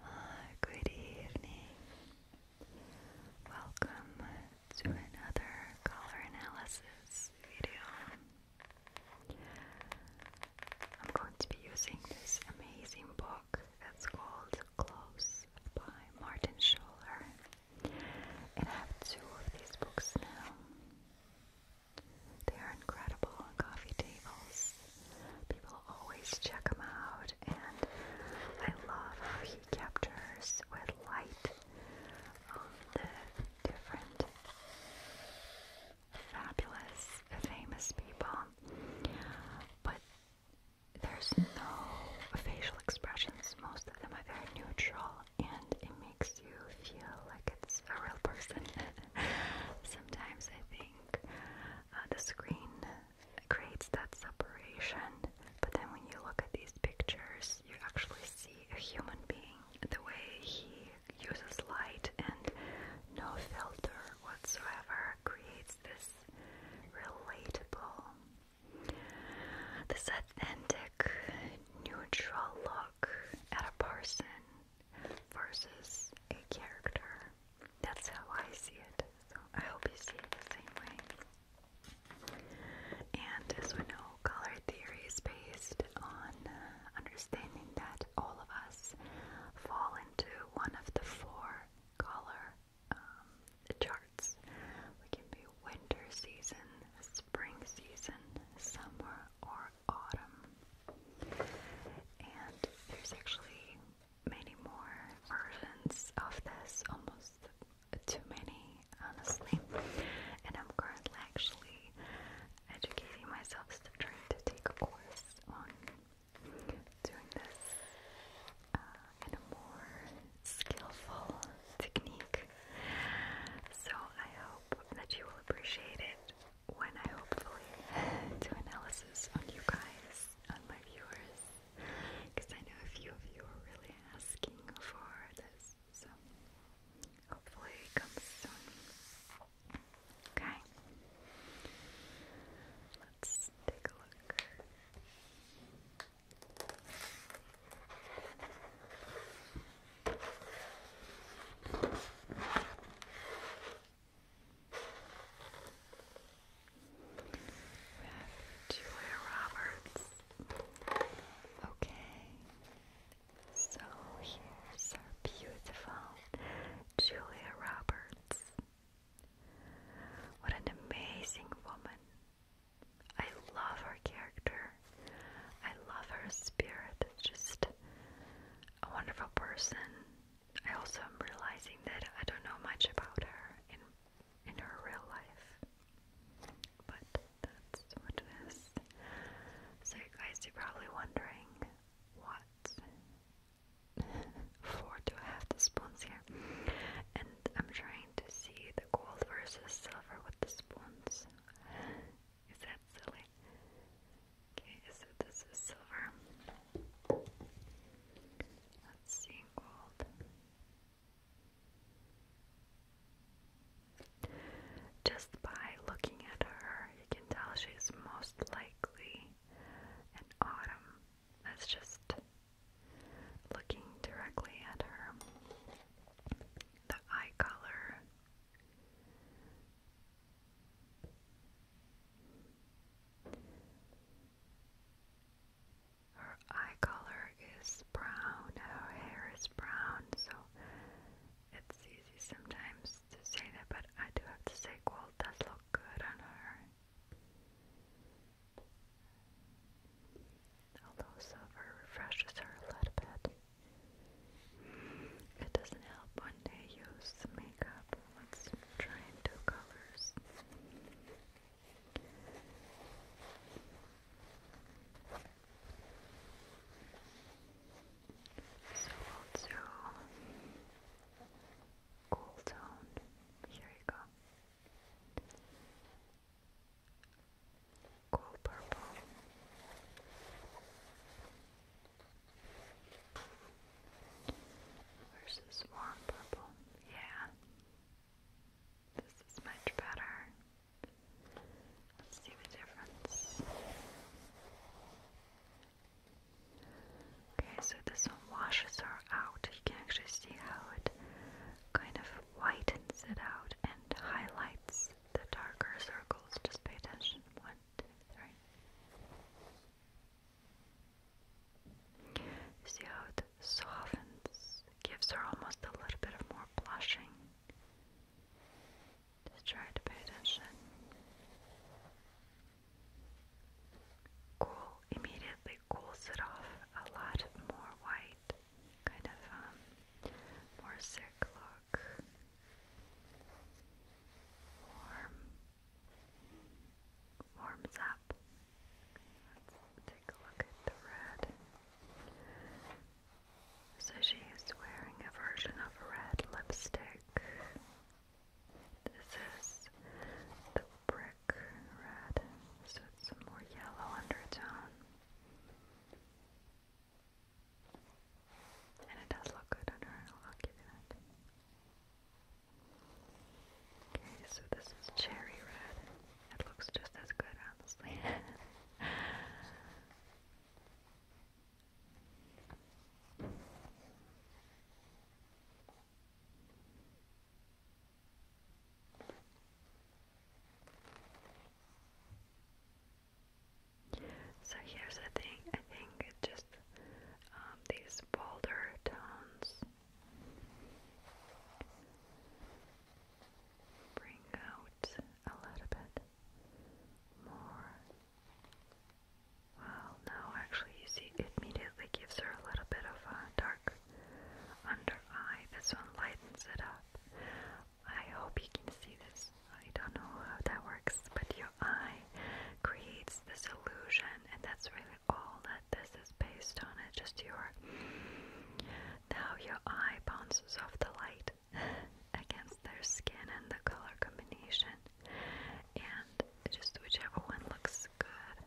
Uh, good evening. Welcome to another color analysis video. I'm going to be using this amazing book that's called Close by Martin Schuller. And I have two of these books now. They are incredible on coffee tables. People always check them out, and I love how he captures with light um, the different fabulous, famous people but there's no facial expressions. Most of them are very neutral, and it makes you feel like it's a real person. Sometimes I think uh, the screen creates that separation, but then when you look at these pictures, you actually see a human being. The way he uses light and no filter whatsoever creates it's this relatable, this authentic, neutral look at a person versus a character. That's how I see it. So I hope you see it the same way. And as we know, color theory is based on uh, understanding that all of us fall into one of the four color um, charts. We can be winter season, spring season, summer, or autumn. And there's actually many more versions of this, almost too many, honestly. And I'm currently actually educating myself, so trying to take a course on doing this uh, in a more skillful technique. So I hope that you will appreciate it when I hopefully do analysis on you guys, on my viewers, because I know a few of you are really asking for this. So hopefully it comes soon. Okay. Let's take a look. Julia Roberts. Okay, so here's our beautiful Julia Roberts. What an amazing woman. I love her character. I love her spirit. Just a wonderful person. I also am realizing that I don't know much about her in in her real life. But that's what it is. So you guys are probably wondering what four to half the spoons here. And I'm trying to see the gold versus silver with the spoons. Is that silly? Okay, so this is silver. Let's see gold. Just by looking at her, you can tell she's most likely an autumn that's just looking directly at her. The eye color. Her eye color is brown, her hair is brown, so it's easy sometimes to say that, but I do have to say gold does look good on her. Although silver refreshes her a little bit. It doesn't help when they use makeup. Let's try colors. So we'll do cool tone. Here you go. Cool purple. Versus warm purple. Yeah. This is much better. Let's see the difference. Okay, so this one washes her out. You can actually see how it kind of whitens it out and highlights the darker circles. Just pay attention. One, two, three. See how it softens, gives her almost a little bit of more blushing. Just try to pay attention. Cool immediately cools it off a lot more white, kind of um, more sick look. Warm. Warms up. Let's take a look at the red. So she is wearing a version of a red lipstick. This is the brick red, so it's more yellow undertone. And it does look good on her, I'll give you Okay, so this is cherry red. It looks just as good, honestly. So here's the thing, I think it's just um, these bolder tones bring out a little bit more well, no, actually, you see, it immediately gives her a little bit of a dark under eye. This one lightens it up. I hope you can see this. I don't know how that works, but your eye creates this illusion, and that's really all that this is based on. It's just your. Now your eye bounces off the light against their skin and the color combination and just whichever one looks good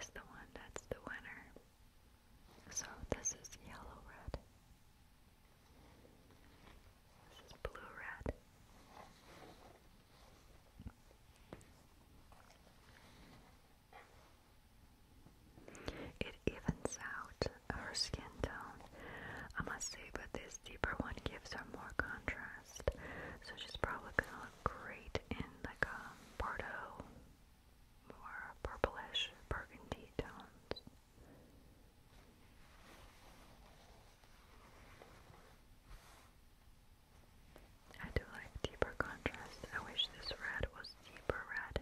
is the one that's the winner. So this is yellow red. This is blue red. It evens out her skin tone, I must say, but this deeper one gives her more contrast. So she's probably gonna great in like a Bordeaux, more purplish burgundy tones. I do like deeper contrast. I wish this red was deeper red.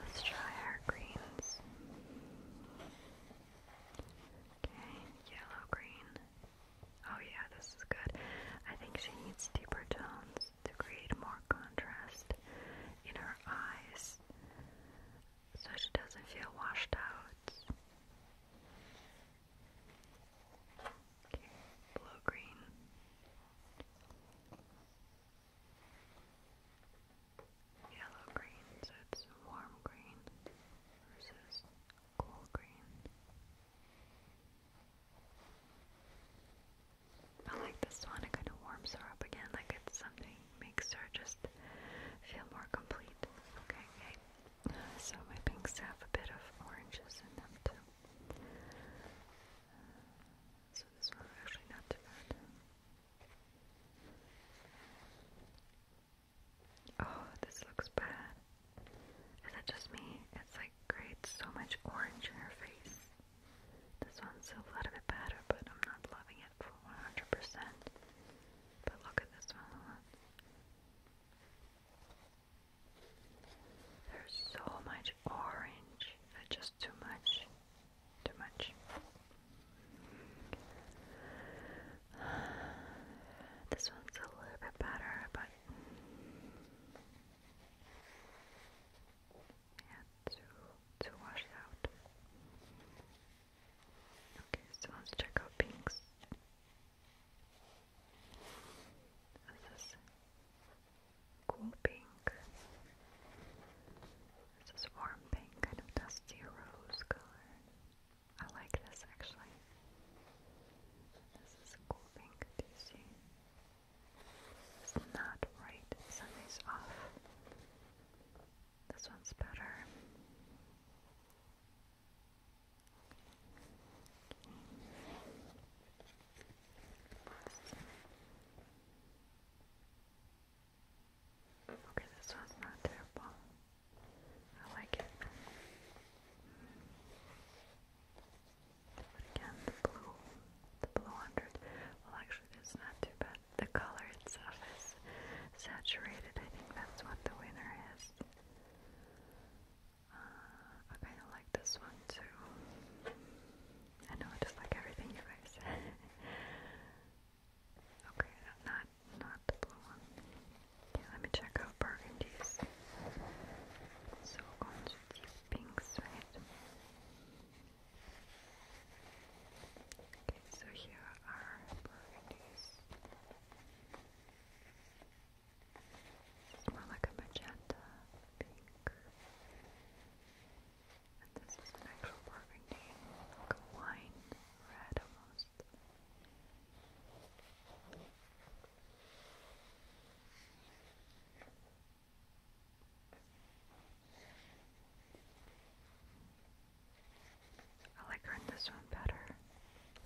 let's try our greens. Okay, yellow, green. Oh yeah, this is good. I think she needs deeper tones to create more contrast in her eyes so she doesn't feel washed out. Okay, blue, green. Yellow green, so it's warm green versus cool green. I like this one, it kind of warms her up again, like it's something makes her just feel more complete. Okay, So my pinks have a bit of oranges in them too. Uh, so this one actually not too bad. Oh, this looks bad. Is it just me? It's like creates so much orange in her face. This one's a little bit better, but I'm not loving it for 100%. But look at this one. There's so much orange. just too much. Too much. This one's a little bit better, but yeah, to to wash out. Okay, so let's check out pinks. This is cool pink. This is warm pink, kind of dusty rose color. I like this actually. This is a cool pink, do you see? It's not right, something's off. This one's better. Okay, this one's not terrible. I like it. again, the blue, the blue hundred. Well, actually, it's not too bad. The color itself is saturated. I think that's what the winner is. Uh, I like this one too. I know just like everything you guys. Okay, not not the blue one. Okay, let me check out burgundies. So we pinks, Okay, so here are burgundies. more like a magenta pink. this is an actual burgundy, like a wine red almost. I like her in this one better.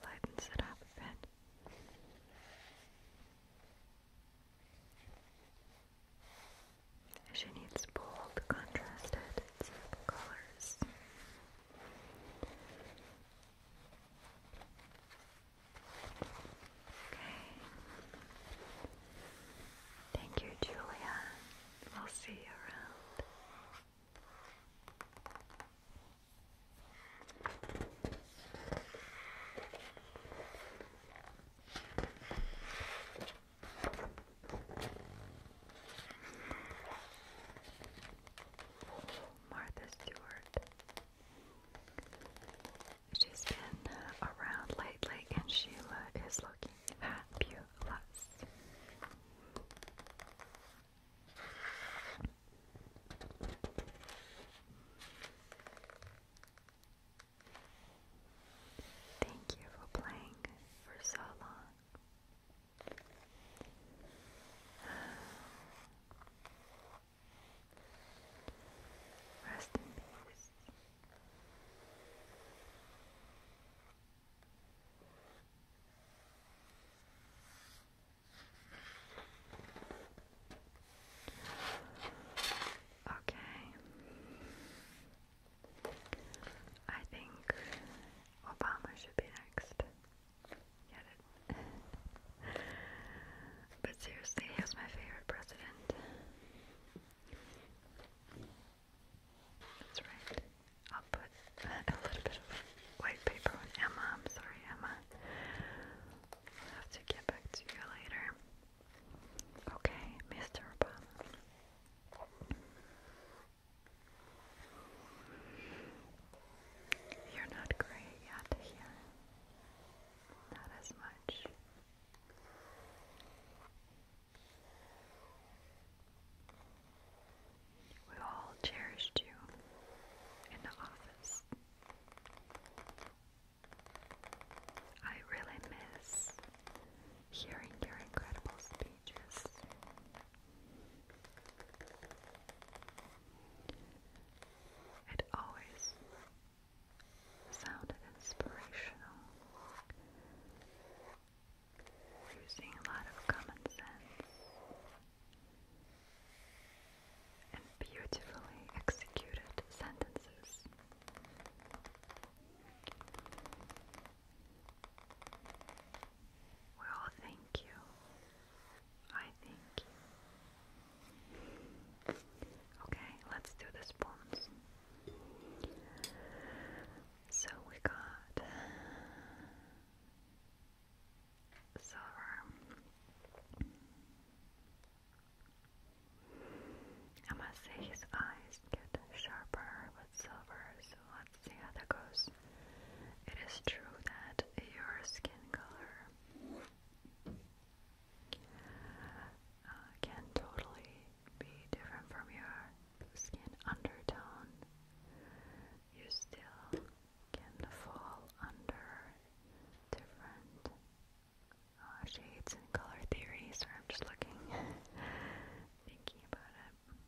Lightens it up a bit. She needs bold, contrasted, colors. Okay. Thank you, Julia. We'll see you around. Martha Stewart. She's been around lately and Sheila is looking fabulous. Thank you for playing for so long. Rest in peace. Okay. I think Obama should be next but seriously, he was my favorite president. That's right. I'll put a little bit of white paper on Emma. I'm sorry, Emma. I'll have to get back to you later. Okay, Mr. Obama. You're not great yet here. Not as much. We all cherished you in the office. I really miss hearing your incredible speeches. It always sounded inspirational, using a lot of common sense and beautifully executed sentences. We thank you. I thank you. Okay, let's do the spoons. So we got silver. I must say his eyes get sharper silver, so let's see how that goes. It is true that your skin color uh, can totally be different from your skin undertone. You still can fall under different uh, shades and color theories. So I'm just looking, thinking about it.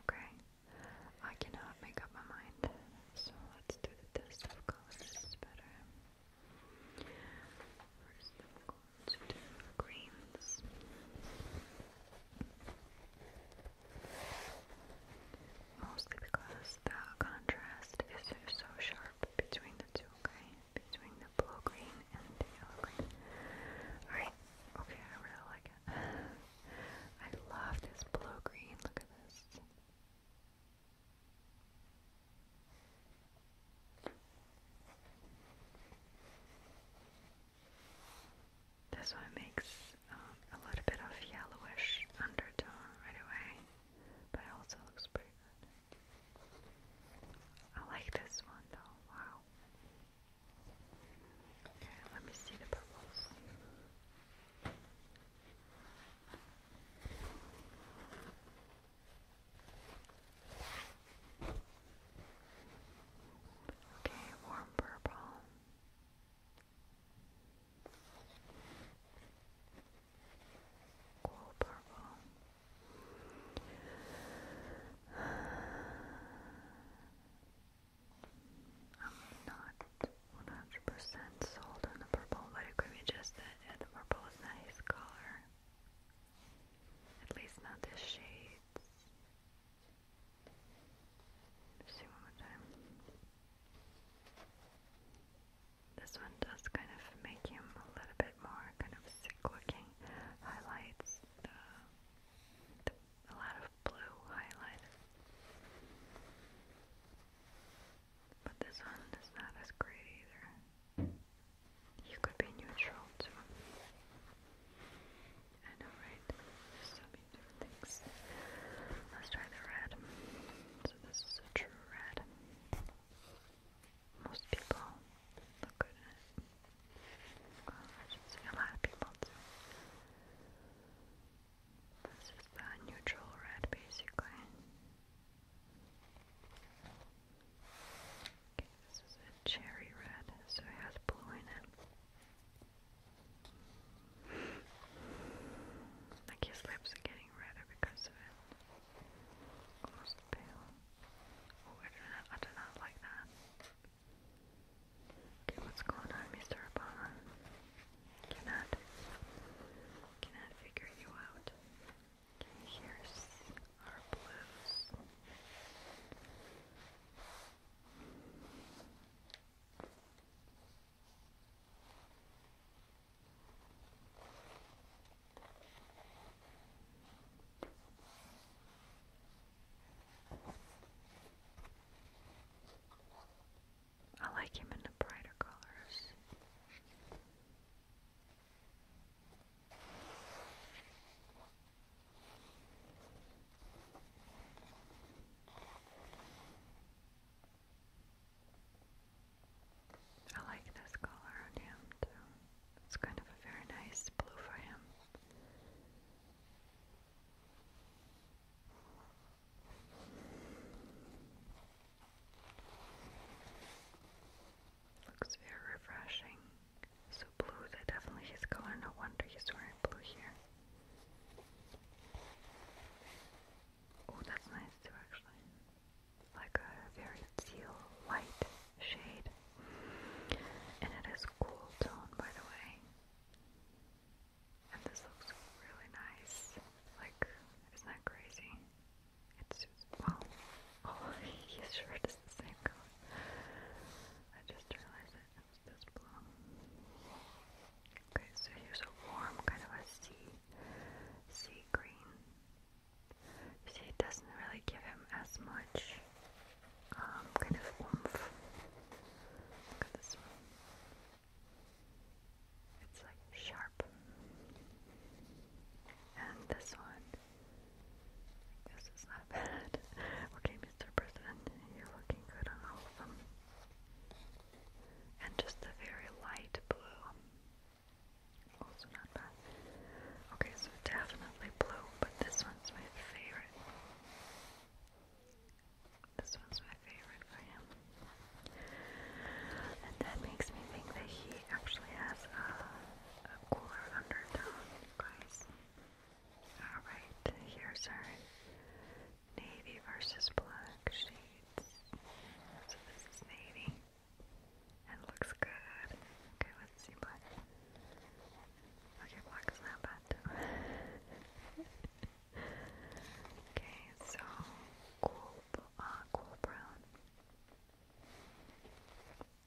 Okay, I cannot make up my mind, so let's do the test of colors better. First, I'm to do Mostly because the contrast is so sharp between the two, okay? Between the blue green and the yellow green. Alright, okay, I really like it. I love this blue green. Look at this. This one makes um, a little bit of yellowish undertone right away, but it also looks pretty good. I like this one though, wow. Okay, let me see the purples. Okay, warm purple. Cool purple. I'm not 100% sold on the purple, but it could be just that the purple is not his color. At least not the shades. see one more time. This one does kind of make him a little bit more kind of sick looking. Highlights the a lot of blue highlighted. But this one is not as great either. You could be neutral too. I know, right? There's different things. Let's try the red. So this is a true red. Most people look good in it. a lot of people this is the neutral red basically. Okay, this is cherry red, so it has blue in it. Like his lips are getting redder because of it. Almost pale. Oh, I do not, I do not like that. Okay, what's going on, Mr. Obama? Cannot, cannot figure you out. Here's our blues. I like him in the brighter colors. I like this color on him too. It's kind of a very nice blue for him. Looks very refreshing. So blue is definitely his color, no wonder he's wearing blue here. Oh, that's nice too actually. Like a very teal white shade. And it is cool tone by the way. And this looks really nice. Like, isn't that crazy? It's just, well, oh, his shirt is the same color. I just realized it. It's this blue. Okay, so here's a warm kind of a sea, sea green. See, it doesn't really give him as much um, kind of oomph. Look at this one. It's like sharp. And this one, this is not bad. okay, Mr. President, you're looking good on all And just a very light blue. Also not bad. Okay, so definitely blue, but this one's my favorite. This one's my favorite for him. And that makes me think that he actually has a, cooler undertone, guys. Alright, here's our navy versus black shades. So this is navy. And looks good. Okay, let's see black. Okay, black is not bad Okay, so cool, uh, cool brown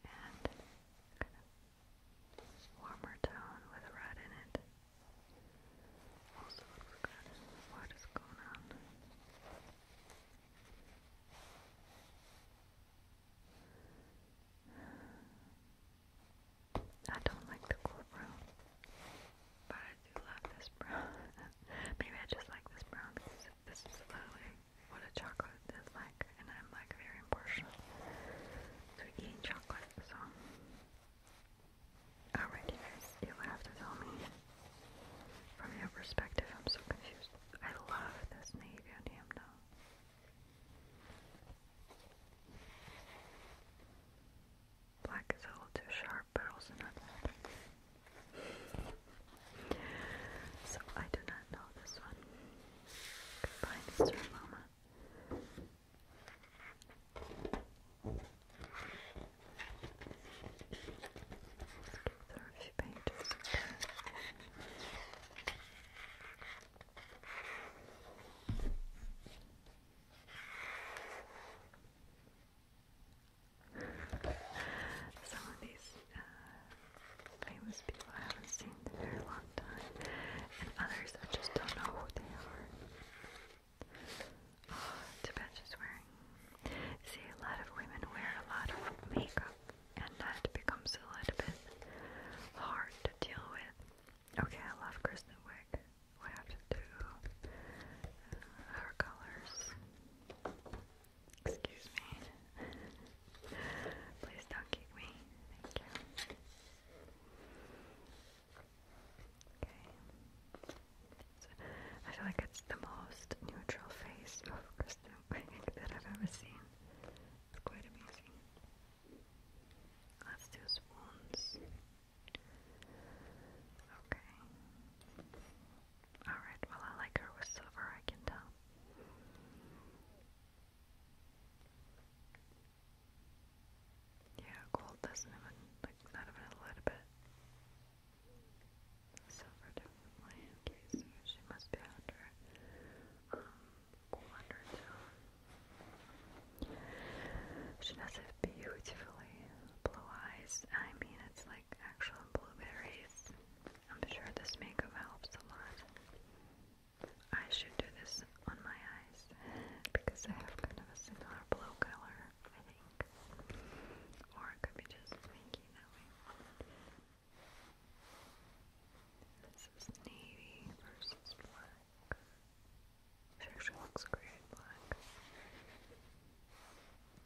and warmer tone with red in it. Also What is going on? I don't like the courtroom, but I do love this brown. Maybe I just like this brown because this is literally what a chocolate is like, and I'm like very impartial to eating chocolate, so. Alright, you guys, you have to tell me from your perspective. I'm so confused. I love this navy on him now. Black is a little too sharp, but also not that. So I do not know this one. Goodbye, Mr. Mama. There are a few pages. Some of these uh, famous people I haven't seen in a very long time, and others I just don't know who they are. Oh, Tibet is wearing. See, a lot of women wear a lot of makeup, and that becomes a little bit hard to deal with. Okay, I love Kristen Wiig. We have to do uh, her colors. Excuse me. Please don't kick me. Thank you. Okay. So, I feel like it's the most neutral face of Kristen Wiig that I've ever seen. It's quite amazing. Let's do swans. Okay. Alright, well, I like her with silver, I can tell. Yeah, gold doesn't even, like, not even a little bit. Silver definitely. she must be under, um, 100 now. She does have beautifully blue eyes. I mean, it's like actual blueberries. I'm sure this makeup helps a lot. I should do this on my eyes because I have kind of a similar blue color, I think. Or it could be just pinky This is navy versus black. She actually looks great black.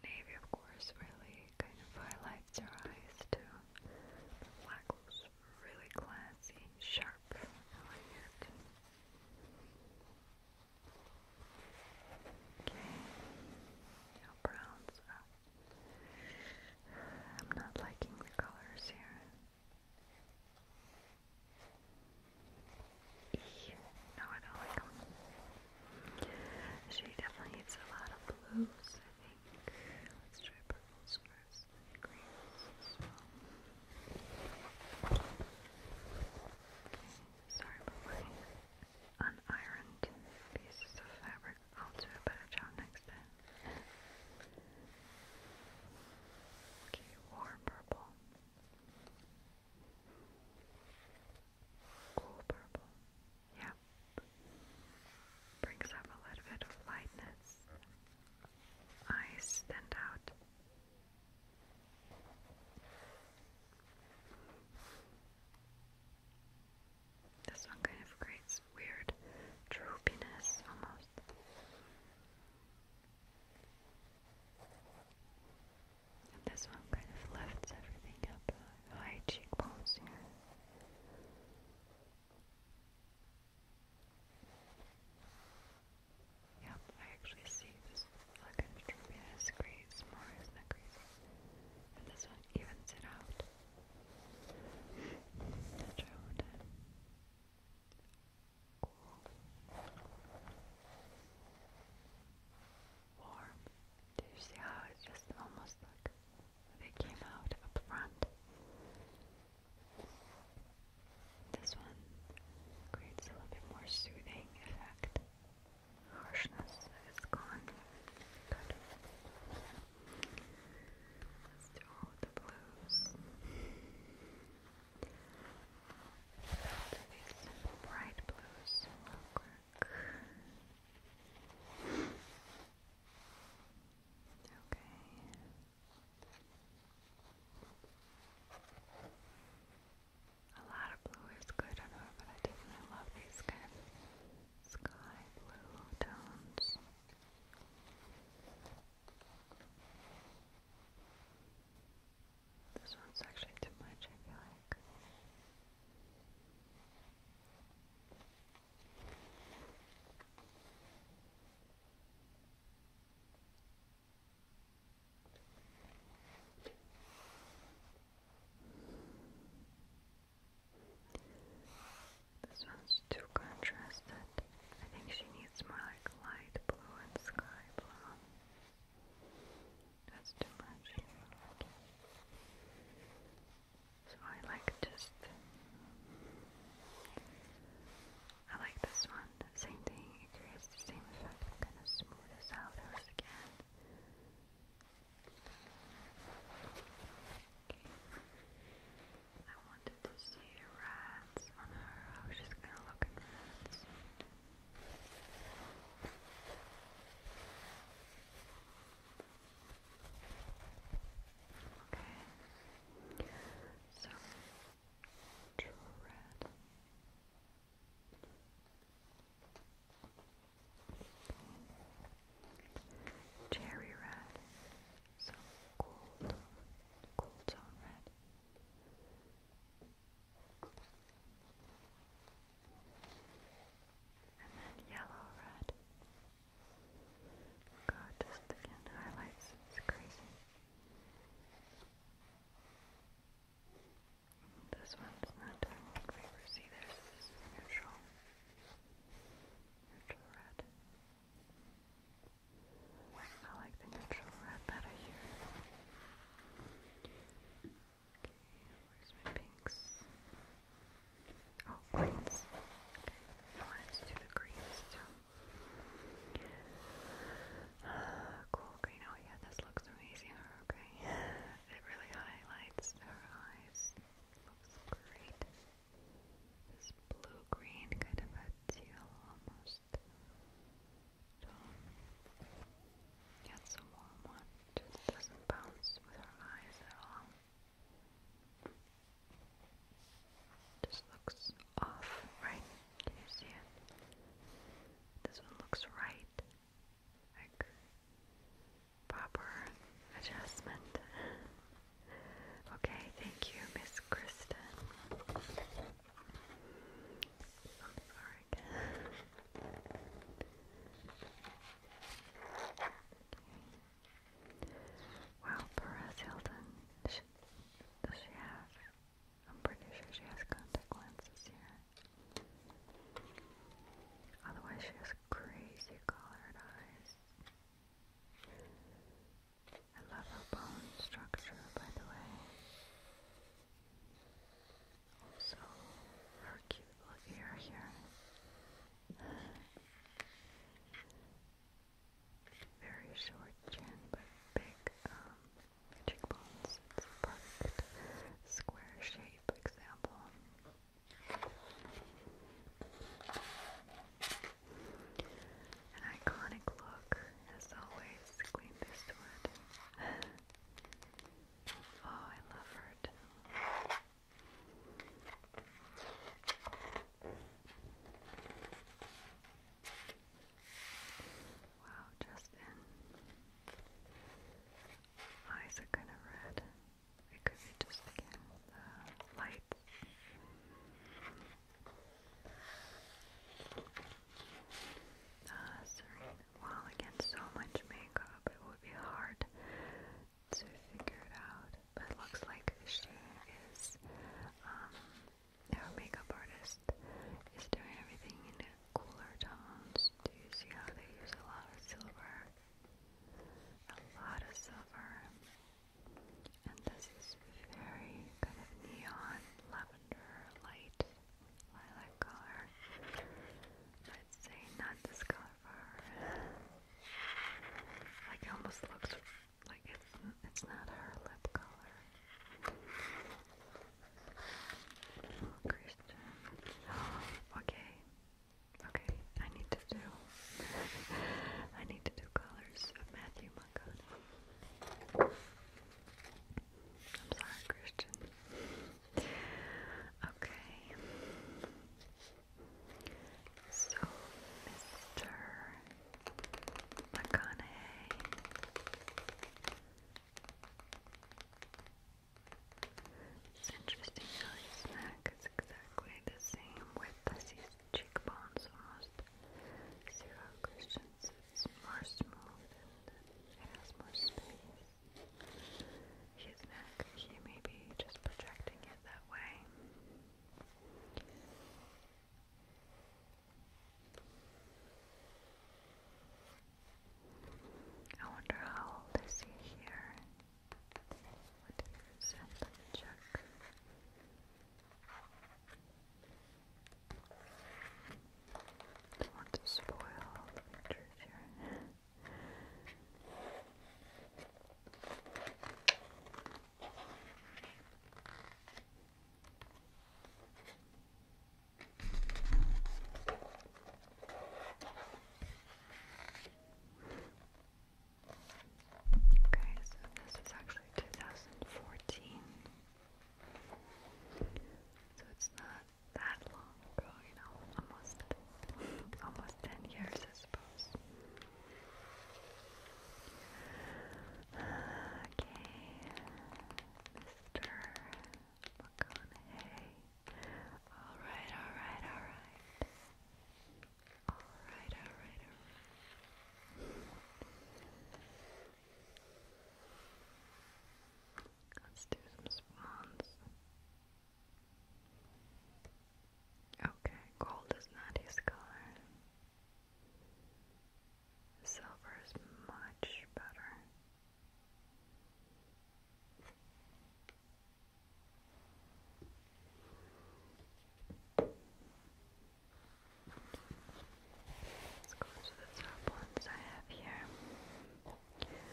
Navy, of course, really kind of highlights your eyes too. black looks really classy, sharp. I like it. Okay, now browns up. I'm not liking the colors here. You know it all. Like she definitely eats a lot of blues, I think. Let's try purples first, and sorry about my unironed pieces of fabric. I'll do a better job next time. Okay, warm purple. Cool purple. Yeah. Brings up a little bit of lightness. Eyes stand out. This one kind of creates weird droopiness almost this one kind of lifts everything up uh, high cheekbones here. Yep, I actually see this like a tremendous crease more, is that crazy? And this one evens it out. That's cool, warm. Do you see how it's just almost like they came out up front? This one creates a little bit more soothing effect. Harshness is gone. Let's do the blues. So these bright blues will Okay. A lot of blue is good, I know, but I definitely love these kind of sky blue tones. This one's actually too much, I feel like. This one's too contrasted. I think she needs more like light blue and sky blue. That's too much. So I like just. I like this one. Same thing, it creates the same effect. I'm going out once again. Okay. I wanted to see red rats on her, how she's gonna look at rats. Okay, so true red. Cherry red, so cold, cold zone red, and then yellow red. God, this again highlights is crazy. This one's not doing me favors this neutral, neutral red. I like the neutral red better here. Okay, where's my pinks? Oh, greens. Okay, let's do the greens ah, cool green. Oh yeah, this looks amazing. Okay, it really highlights her eyes. Looks great. This blue green, kind of a teal almost. Yeah, a warm one. It doesn't bounce with her eyes at all. Just looks off, right? Can you see it? This one looks right. Like proper adjustment. okay, thank you, Miss Kristen dark. okay. Wow, Perez Hilton. does she have? I'm pretty sure she has contact lenses here. Otherwise, she has crazy colored eyes. I love her bone structure, by the way. Also, her cute little ear here. Very short chin, but big um, cheekbones. It's perfect square shape example. An iconic look as always, Queen Beastwood. oh, I love her Wow, Justin. Eyes are kind of red. It could be just again the lights. Uh, Serena, well, so much makeup, it would be hard to figure it out. But it looks like she is, um, makeup artist is doing everything in cooler tones. Do you see how they use a lot of silver? A lot of silver. And this is very kind of neon lavender light lilac color. I'd say not this color for her. Like it almost looks like it's it's not her lip color. Oh, okay. Okay, I need to do I need to do colors of Matthew Montgomery. I'm sorry, Christian. Okay. So, Mr. McConaughey. It's interesting how his neck is exactly the same width as cheekbones, almost zero Christian's is more smooth and has more space. His neck, he may be just projecting it that way. I wonder how old is he here? What do you Let me don't want to spoil the pictures here. Okay, so this is actually 2014. So it's not that long you know, almost almost ten years I suppose. Okay. Mr. McConaughey. Alright, alright, alright. Alright, alright, alright. Let's do some swans. Okay, gold is not his color. Silver is much better. Let's go to the turbulence I have here. Okay,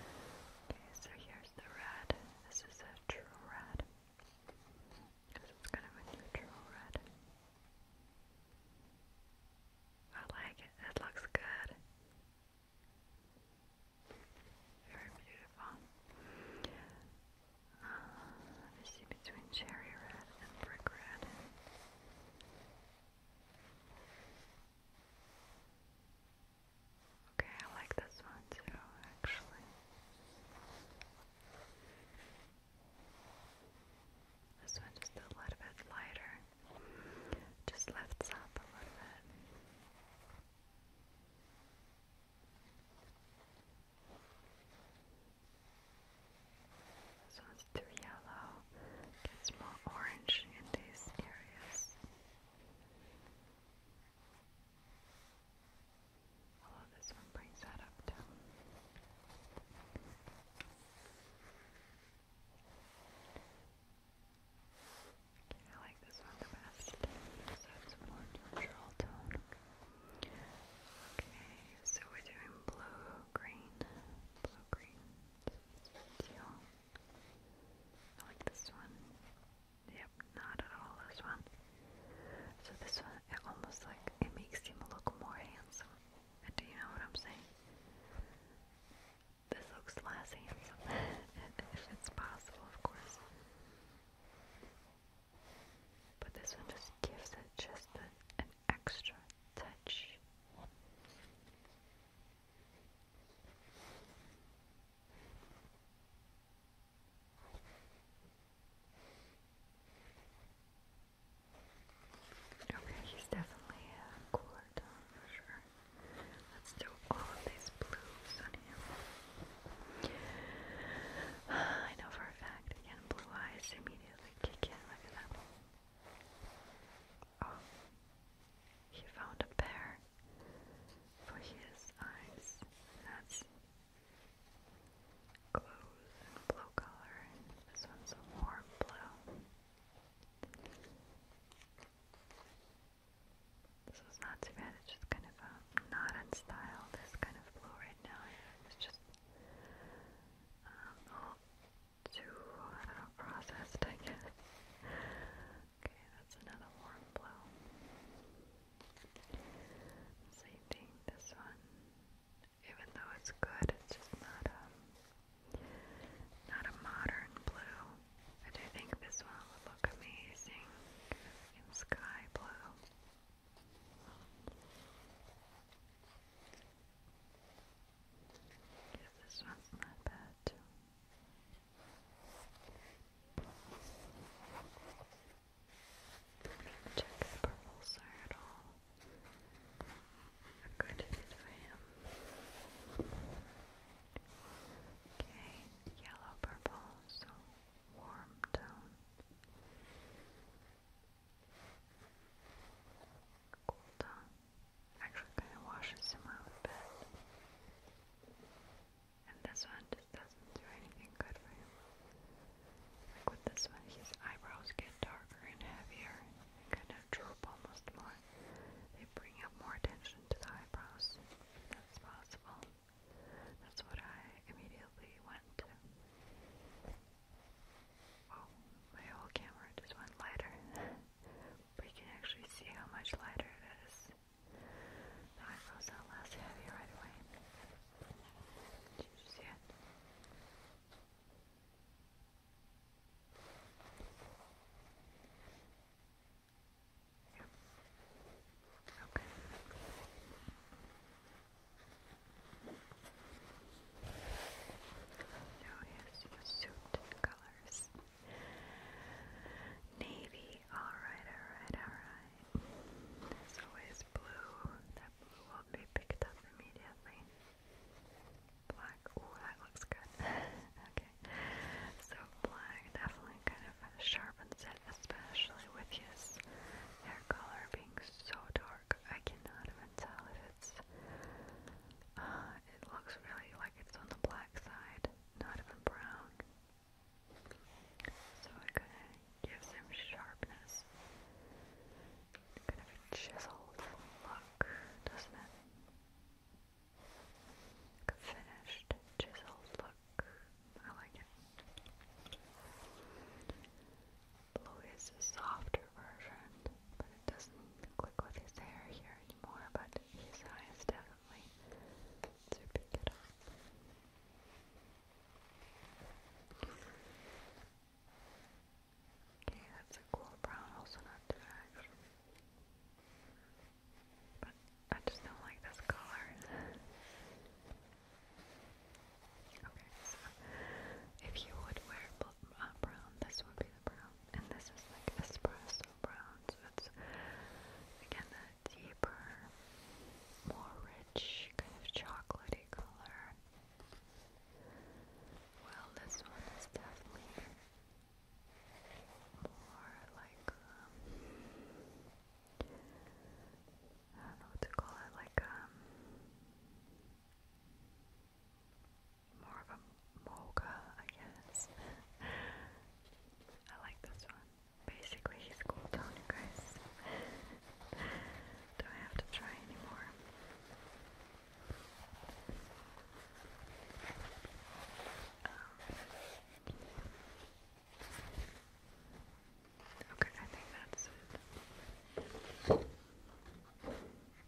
so here's the red. This is a true red. Because it's kind of a neutral red. I like it. It looks good. Very beautiful. Uh, let me see between cherry red and brick red. Okay, I like this one too, actually. This one just a little bit lighter, just lifts up a little bit. This one's too yellow, gets more orange in these areas. Although this one brings that up too. I like this one the best. So it's more neutral tone. Okay, so we're doing blue, green, blue, green like this one. Yep, not at all this one. So this one, it almost like, it makes him look more handsome. Do you know what I'm saying? This looks less handsome, if it's possible, of course. But this one just gives it just a, extra touch. Okay, he's definitely cooler for sure. Let's do all of these blues on him. I know for a fact, again, blue eyes immediately kick in. Look at that. Oh, he found a pair for his eyes. That's close and blue color. This one's a blue. This is not too bad, it's just kind of a um, not in style, this kind of blue right now. It's just um, too uh, processed, I guess. Okay, that's another warm blow. Same thing, this one. Even though it's good, it's just not a, not a modern blue. I think this one would look amazing in sky blue. Yeah, this one's not bad Check if purples are at all a good fit for him. Okay, yellow purple, so warm tone. Cool tone actually kind of washes him out a bit. And this one just doesn't do anything good for him. Like with this one, his eyebrows get darker and heavier, kind of droop almost more. They bring up more attention to the eyebrows. That's possible. That's what I immediately went Oh, my whole camera just went lighter. but you can actually see how much lighter it is. The eyebrows are less heavy right away. Did you Okay. Now here's suit colors. Navy, alright, alright, alright. There's always blue. That blue will be picked up immediately. Black, oh that looks good. okay. So black definitely kind of sharpens it, especially with his hair color being so dark. I cannot even tell if uh, it looks really like it's on the black side, not even brown. So it kind of gives him sharpness, kind of chiseled look, doesn't it? finished, chiseled look. I like it. Blue is a softer version, but it doesn't click with his hair here anymore, but his eyes definitely pick it up. Okay, that's a cool brown, also not too actually. But I just don't like this color. okay, so if you would wear uh, brown, this would be brown. And this is like espresso brown, so it's again a deeper, more rich, kind of chocolatey color. Well, this one is definitely more like, um, I don't know to call it, like, um, more of a mocha, I guess. I like this one. Basically, he's cool down, you guys. do I have to try anymore. Okay, I think that's it.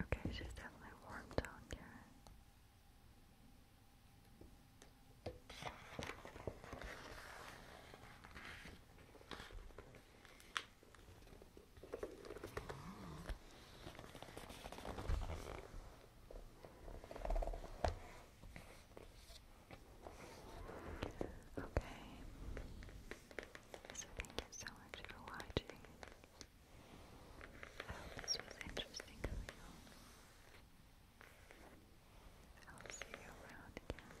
Okay, she's definitely warmed down here. Okay. So thank you so much for watching. I hope this was interesting for you. I'll see you around again.